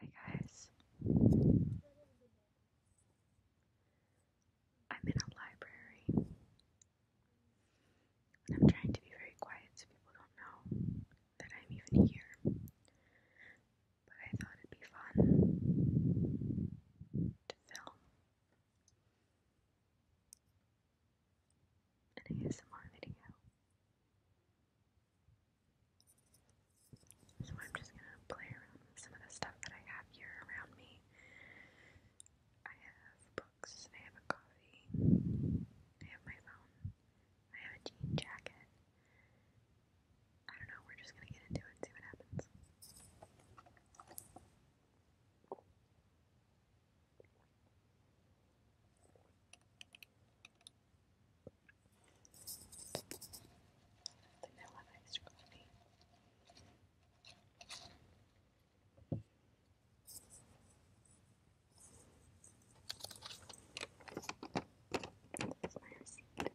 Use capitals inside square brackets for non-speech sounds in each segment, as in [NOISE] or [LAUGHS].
Hi guys. I'm in a library. And I'm trying to be very quiet so people don't know that I'm even here. But I thought it'd be fun to film an ASMR video. So I'm just gonna play around with some of the stuff that I have here around me. I have books, I have a coffee, I have my phone, I have a jean jacket. I don't know, we're just gonna get into it and see what happens. Vanilla iced coffee. That's my receipt.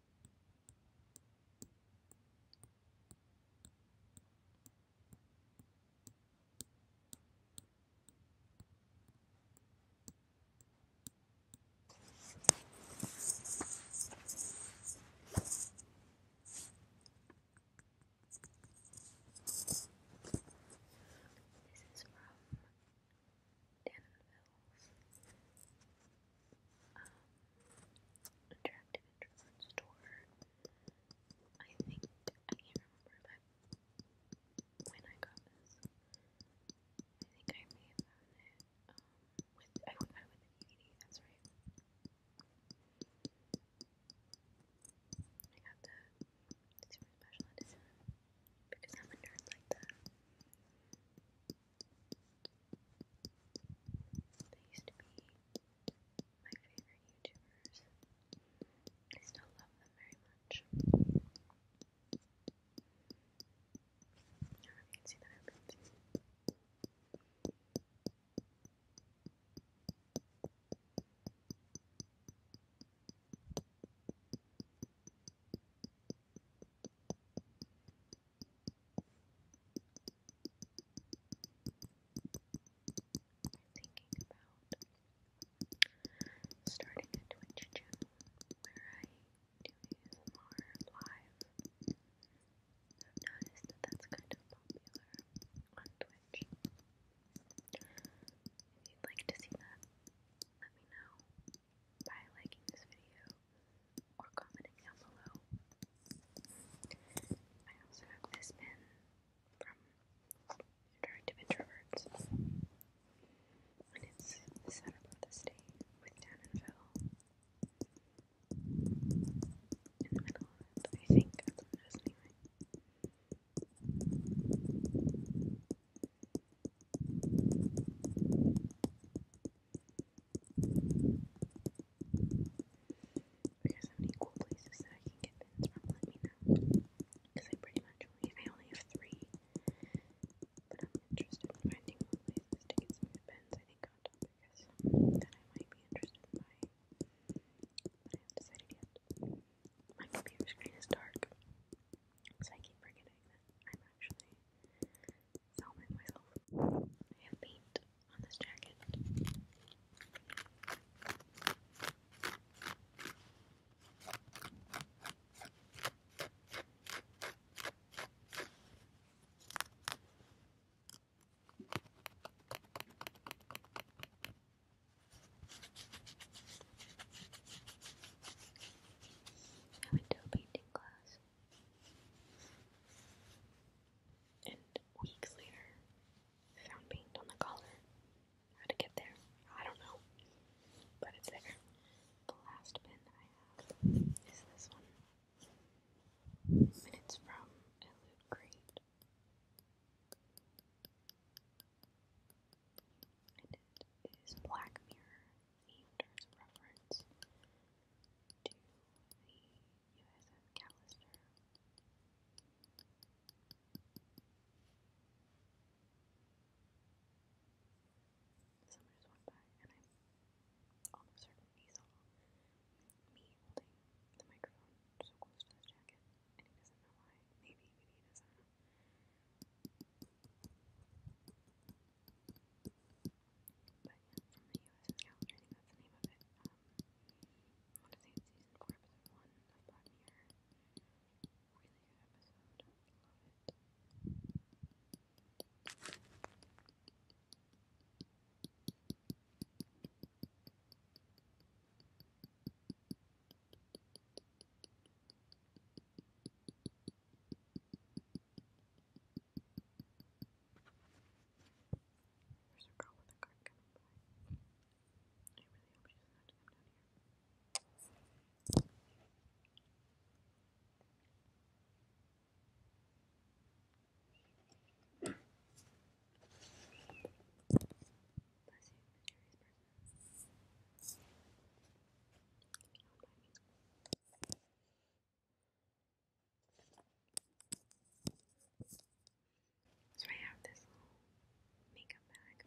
This is from Danville's um, attractive introvert store. I think I can't remember when I got this. I think I may have with I got with the DVD. That's right. I got the special edition because I'm a nerd like that. They used to be my favorite YouTubers. I still love them very much. you thinking about starting a Twitch channel where I do ASMR live. I've noticed that that's kind of popular on Twitch. If you'd like to see that, let me know by liking this video or commenting down below. I also have this pen from Interactive Introverts, and it's the setup of the state with Dan and Phil in the middle I think that's what it is anyway. If there's any cool places that I can get pins from, let me know. Because I pretty much only, I only have three. But I'm interested in finding more places to get some pins. I think on topic I might be interested in buying. But I haven't decided yet. My computer screen is dark. So I keep forgetting that I'm actually filming myself. I have paint on this jacket. I went to a painting class. And weeks later, found paint on the collar. How to get there? I don't know. But it's there. The last pen I have is this one. And it's from a loot crate and it is Black Mirror themed as a reference to the USS Callister. Someone just walked by, and I'm almost certain he saw me holding the microphone so close to his jacket, and he doesn't know why. Maybe, maybe he doesn't. But yeah, from the U.S. is Calendar, I think that's the name of it. Um, I want to say it's season 4, episode 1 of Black Mirror. Really good episode. Love it. I there's a girl with a card coming by. I really hope she doesn't have to come down here. Bless you, mysterious bird. So I have this little makeup bag.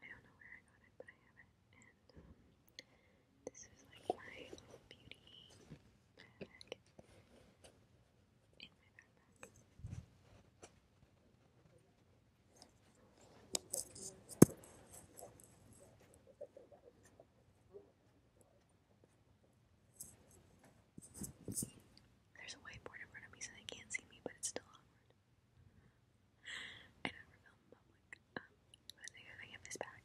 I don't know where I got it, but I have it. And um, this is like my little beauty bag in my backpack. There's a whiteboard in front of me so they can't see me, but it's still awkward. I never film in public. I think I have this back.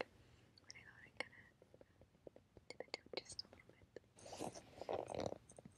But I thought I kind of dip it up just a little bit.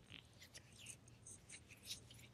someone sitting in a chair nearby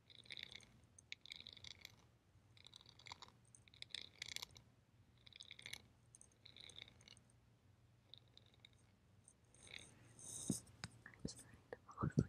I'm just trying to fall asleep. Sound it's so nice.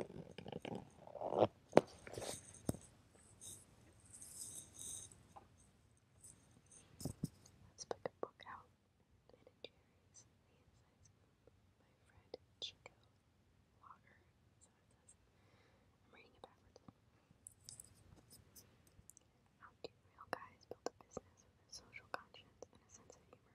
Let's pick a book out. Ben and Jerry's, The Insides by Fred I'm reading it backwards. How do real guys build a business social conscience sense of humor?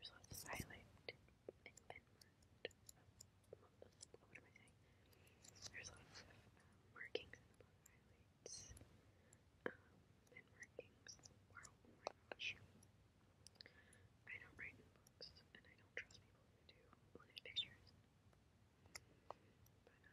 There's a silent movement of what am I saying? There's lots of markings in highlights, um, and markings. I don't write in and I don't trust people who do pictures. But, um, yeah,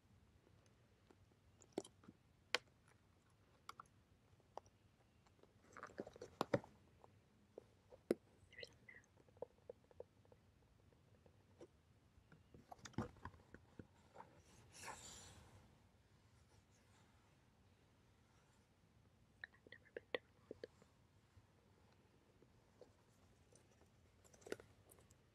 I've never been to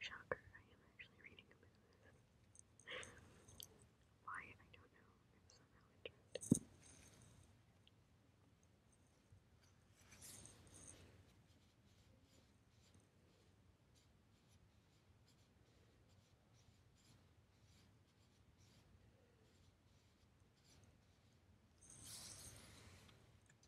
Shocker, I am actually reading about this. Why, I don't know. I'm somehow interested.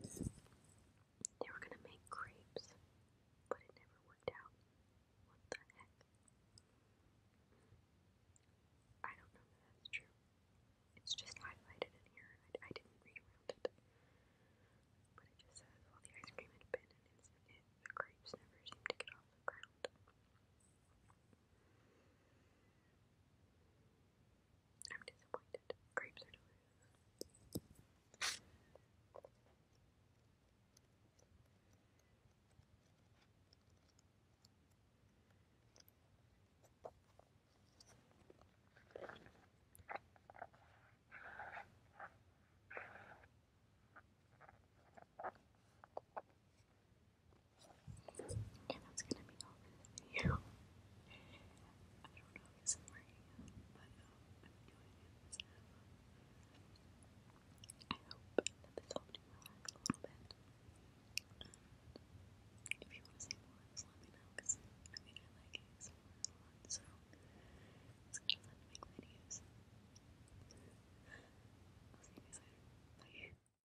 They were gonna make crepes, but it never worked out. What the heck? I don't know that that's true. It's just highlighted in here. I, didn't read it. But it just says, while the ice cream had been an instant hit, the crepes never seemed to get off the ground. I'm disappointed. Grapes are delicious. And that's gonna be all for this [LAUGHS] I don't know if this is but um, I'm doing it. I hope that this helped you relax a little bit. Um, if you want to see more, just let me know because I mean, like it so a lot, so it's to make videos. [LAUGHS] I'll see you guys later. Bye.